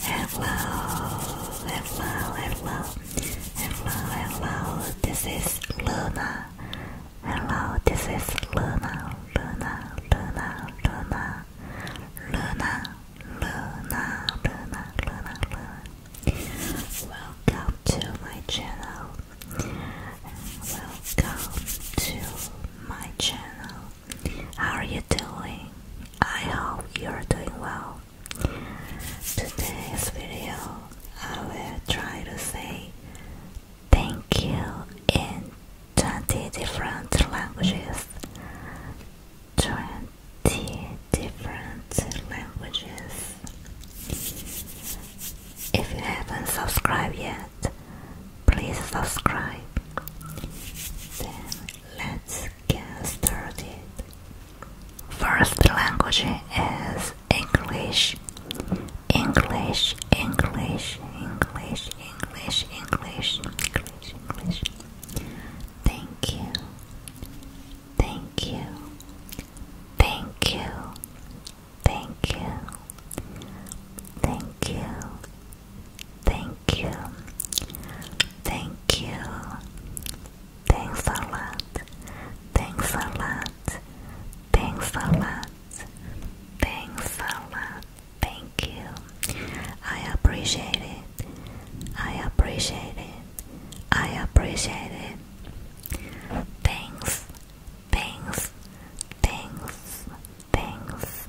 Hello, hello, hello, hello, hello, this is Luna. Hello, this is Luna, Luna, Luna, Luna, Luna, Luna, Luna, Luna, Luna. Welcome to my channel. Welcome to my channel. How are you doing? I hope you're doing well. Today's video, I will try to say thank you in 20 different languages. 20 different languages. If you haven't subscribed yet, please subscribe. Let's get started. First language is English. English, English, English, English, English, English, English. Thank you. Thank you. Thank you. Thank you. Thank you. Thank Thank you. Thank you. Thanks a lot. Thanks a lot. Thanks a lot. Thanks a lot. Thank you. I appreciate it. I appreciate it. I appreciate it. Thanks. Thanks. Thanks. Thanks.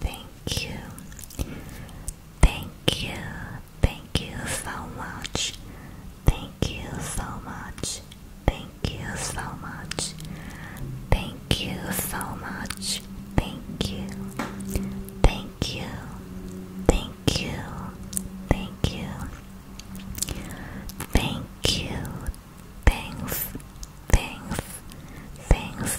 Thank you. Thank you. Thank you so much. Thank you so much. Thank you so much. Thank you so much. Thank you. Thank you. Thank you. Thank you. Thank you. Thanks. Thanks. Thanks.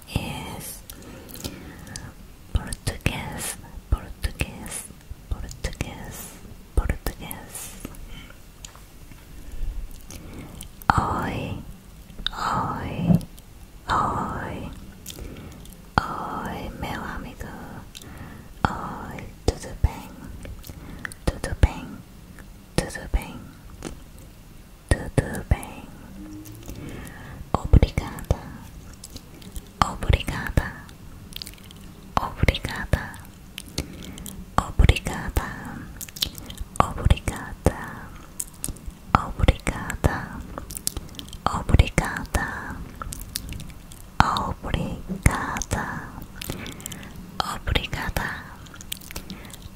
is Portuguese, Portuguese, Portuguese, Portuguese. Oi, oi, oi, oi, meu amigo. Oi, tudo bem, tudo bem, tudo bem. Tudo bem. Obrigada. Obrigada. Obrigada. Obrigada. Obrigada. Obrigada. Obrigada. Obrigada. Obrigada.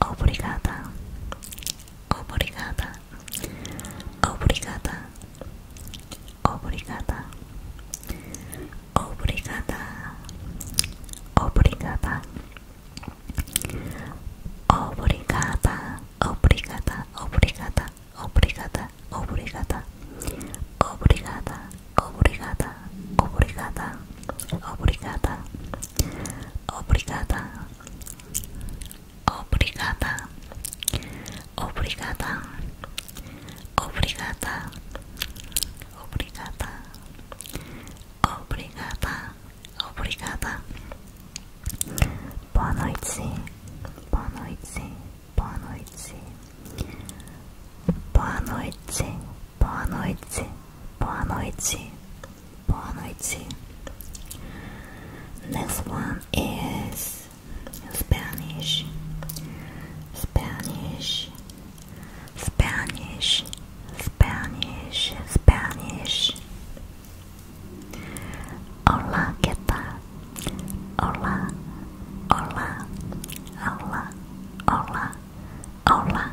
Obrigada. Obrigada. Obrigada. Obrigada. Obrigada. Obrigada. Obrigada. Obrigada. Obrigada. Obrigada. Obrigada. Obrigada. Obrigada. Obrigada. Obrigada. Obrigada. Obrigada. Obrigada. Obrigada. Obrigada. Obrigada. Obrigada. Boa noite. Boa noite. Boa noite. Boa noite. Boa noite, boa noite, boa noite. Next one is Spanish, Spanish, Spanish, Spanish, Spanish. Hola, ¿qué Hola, hola, hola, hola, hola.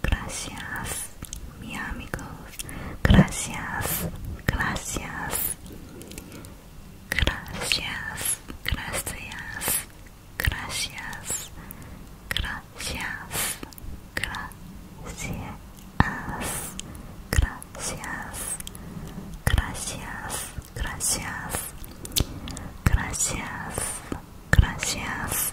Gracias, mi amigos. Gracias, gracias. Gracias, gracias. Gracias, gracias. Gracias, gracias. Gracias, gracias. Gracias, gracias.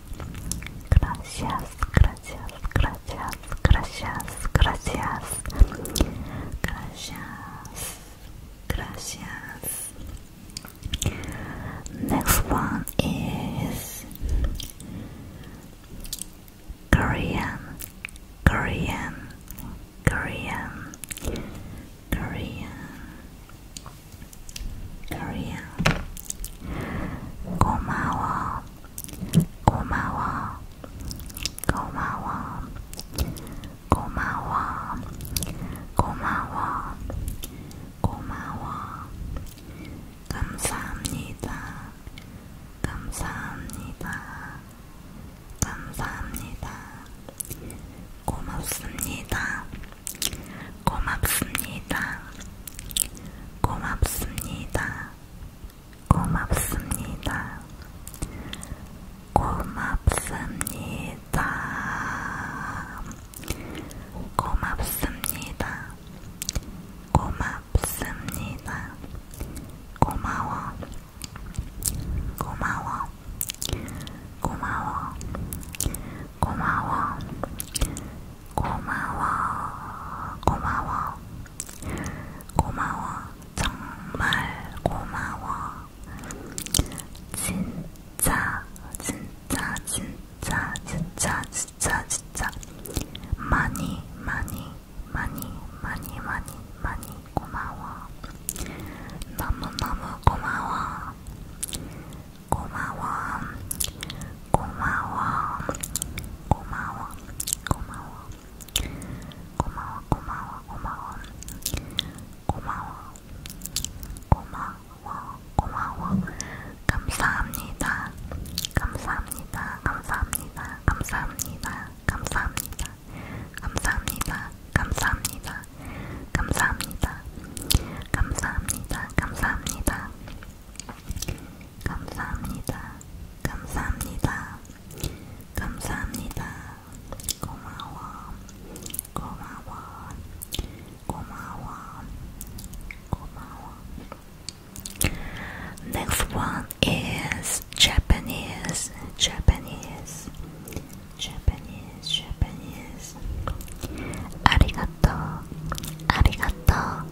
Gracias, gracias, gracias, gracias, gracias. Gracias, gracias. Next one is Korean, Korean, Korean, Korean, Korean. Komawa, 고마워, 고마워, 고마워, 고마워, 고마워. 감사합니다, 감사합니다, 감사합니다. 고맙습니다, 고맙습니다, 고맙습니다. 고맙습니다. 고맙습니다. 고맙습니다. 고맙습니다. 고마워. 고마워. 고마워. 고마워. 고마워. 고마워, 고마워, 고마워, 정말 고마워. 진짜, 진짜, 진짜, 진짜, 진짜, 진짜. 많이, 많이, 많이, 많이, 많이, 많이 고마워. 너무너무 고마워. 고마워. 고마워. 고마워. 고마워. 고마워. 고마워. 고마워. 고마워. 고마워. 고마워. 감사합니다. 감사합니다. 감사합니다. 감사합니다. 감사합니다. 감사합니다. 감사합니다. 감사합니다. 감사합니다. 감사합니다. 감사합니다. 감사합니다. 감사합니다. 고마워. 고마워. 고마워. 고마워. Next one is Japanese. Japanese. Japanese. Japanese. 아리가또. 아리가또.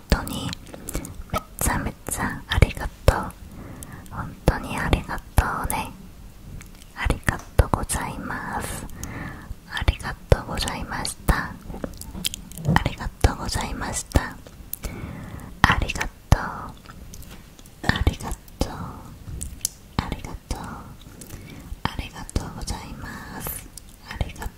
本当にめっちゃめっちゃありがとう本当にありがとうねありがとうございますありがとうございましたありがとうございましたありがとうありがとうありがとうございます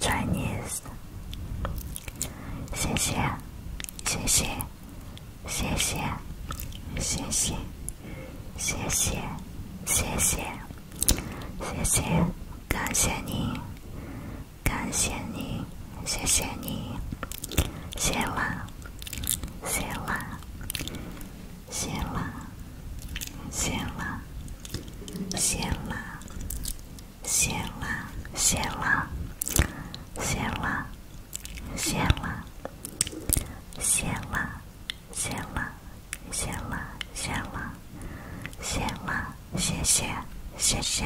Chinese，谢谢，谢谢，谢谢，谢谢，谢谢，谢谢，谢谢，感谢你，感谢你，谢谢你，谢啦，谢啦，谢啦，谢啦，谢啦。谢啦，谢啦，谢啦，谢啦，谢啦，谢啦，谢啦，谢啦，谢啦，谢谢，谢谢，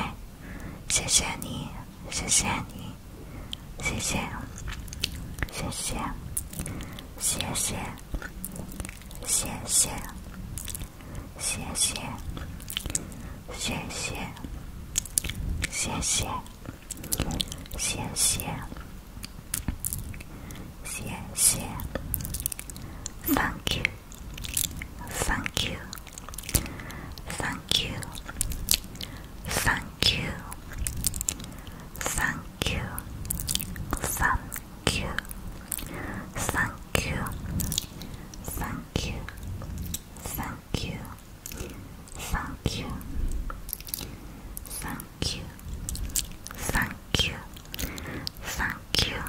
谢谢你，谢谢你，谢谢，谢谢，谢谢，谢谢。谢谢，谢谢，谢谢，谢谢，谢谢。Thank you. Thank you. Thank you. Thank you. Thank you. Thank you. Thank you. Thank you. Thank you. Thank you. Thank you. Thank you. Thank you.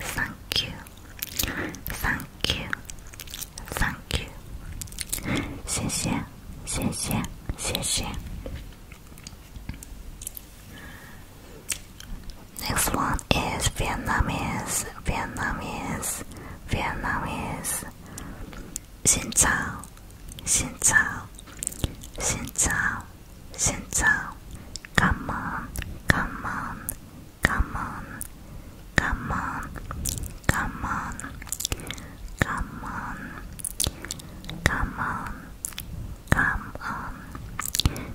Thank you. Thank you. Thank you. 谢谢，谢谢，谢谢。Next one is Vietnamese, Vietnamese, Vietnamese. Xin chào, xin chào, Come on, come on, come on, come on, come on, come on, come on, come on,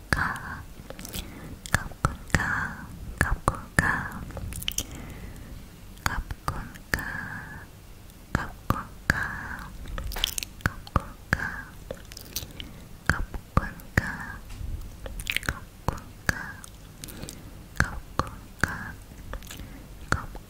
가, 갑군가, 갑군가, 갑군가, 갑군가, 갑군가, 갑군가, 갑군가, 갑군가, 갑군가, 갑군가, 갑군가.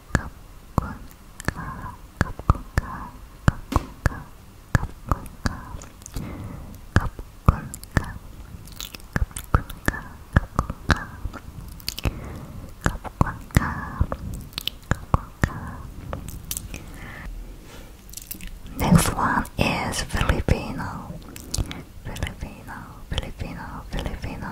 ขอบคุณค่ะขอบคุณค่ะขอบคุณค่ะขอบคุณค่ะขอบคุณค่ะขอบคุณค่ะขอบคุณค่ะขอบคุณค่ะขอบคุณค่ะ Next one is Filipino. Filipino, Filipino, Filipino.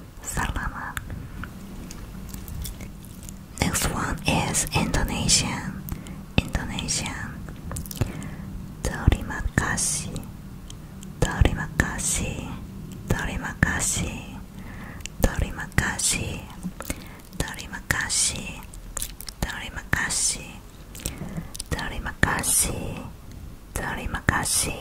Salaman. Next one is Indonesian. Indonesian. Terima kasih. Terima kasih. Terima kasih. Terima kasih. Terima kasih. Terima kasih. Terima kasih. Terima kasih.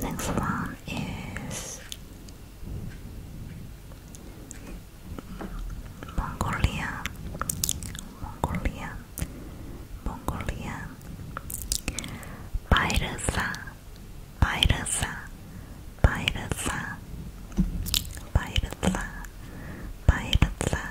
Next one is Mongolia, Mongolia, Mongolia, Bairasa, Bairasa, Bairasa, Bairasa, Bairasa,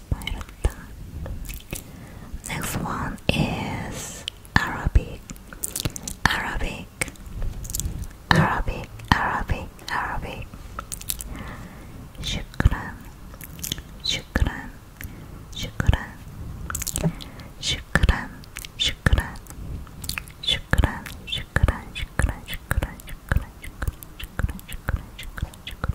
Pirata. Next one is Arabic. Arabic. Arabic. Arabic. Arabic. Shukran. Shukran. Shukran. Shukran. Shukran. Shukran. Shukran. Shukran. Shukran. Shukran. Shukran. Shukran. Shukran. Shukran. Shukran. Shukran.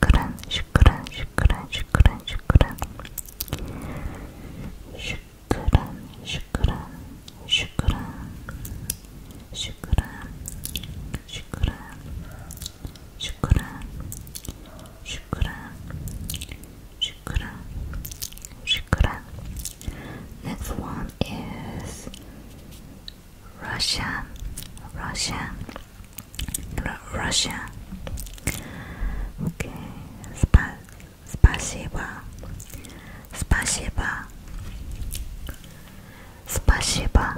shukran, shukran, shukran, shukran, shukran, shukran, shukran, shukran, shukran, shukran, shukran, shukran, shukran, shukran. Next one is Russian, Russian. Russia. Okay, Spa spasiba, spasiba, spasiba,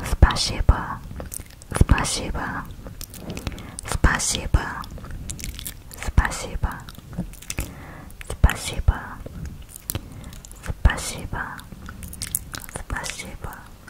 spasiba, spasiba, spasiba, spasiba, spasiba, spasiba,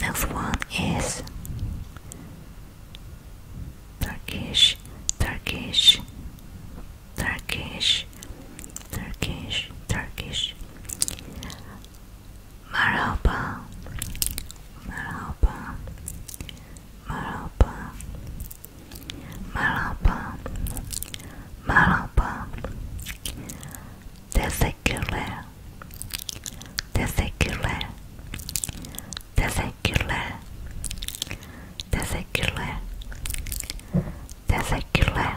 Next one is Turkish, Turkish, Turkish, Turkish, Turkish. Marhaba, Marhaba, Marhaba, Malapa, Malapa, Testicular, Testicular, Testicular, Testicular, Testicular, Testicular, Testicular,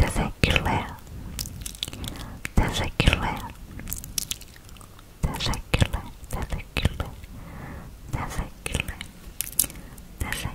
Testicular, Testicular, Testicular, Testicular.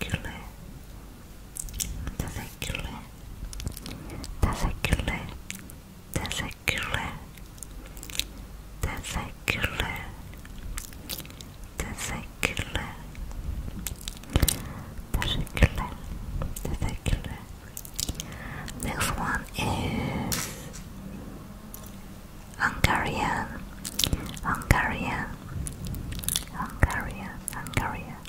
Teşekkürler. Teşekkürler. Teşekkürler. Teşekkürler. Teşekkürler. Teşekkürler. Teşekkürler. Teşekkürler. Next one is Hungarian. Hungarian. Hungarian. Hungarian.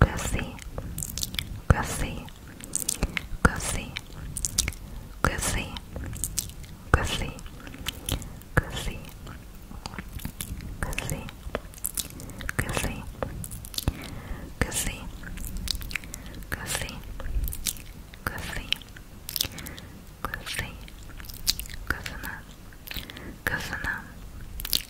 Gussie, Gussie, Gussie, Gussie, Gussie, Gussie, Gussie, Gussie, Gussie, Gussie, Gussie, Gussie, Gussie, Gussie, Gussie,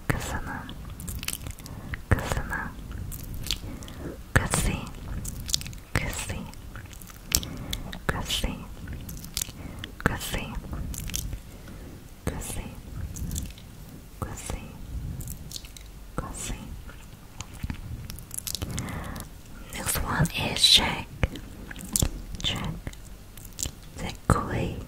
kızını kızını kızı kızı kızı kızı kızı kızı kızı Next one is check check the koi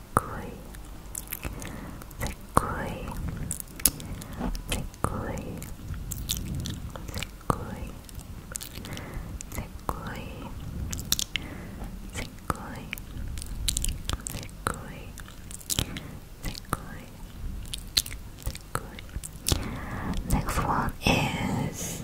Sekui, Sekui, Sekui, Sekui, Sekui, Sekui, Sekui, Sekui, Sekui. Next one is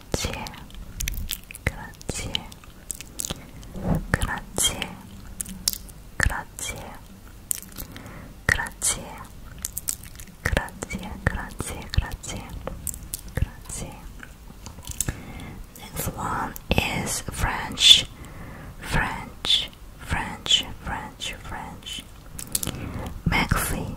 그렇지, 그렇지, 그렇지, 그렇지, 그렇지, 그렇지, 그렇지, 그렇지, 그렇지. Next one is French, French, French, French, French. Maxi,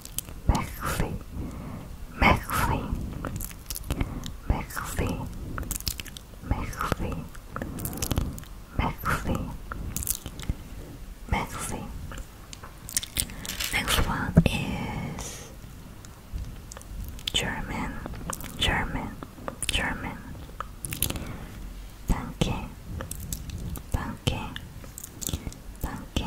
Merci. Merci. Merci. Merci. Merci. Merci. Next one is German. German. German. Danke. Danke. Danke.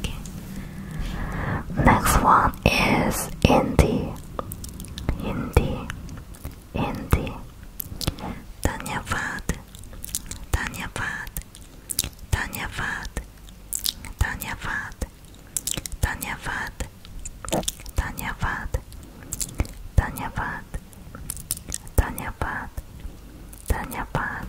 Okay. Next one is Indie. Indie. Indie. Danyavad. Danyavad. Danyavad. Danyavad. Danyavad. Danyavad. Danyavad. Danyavad. Danyavad.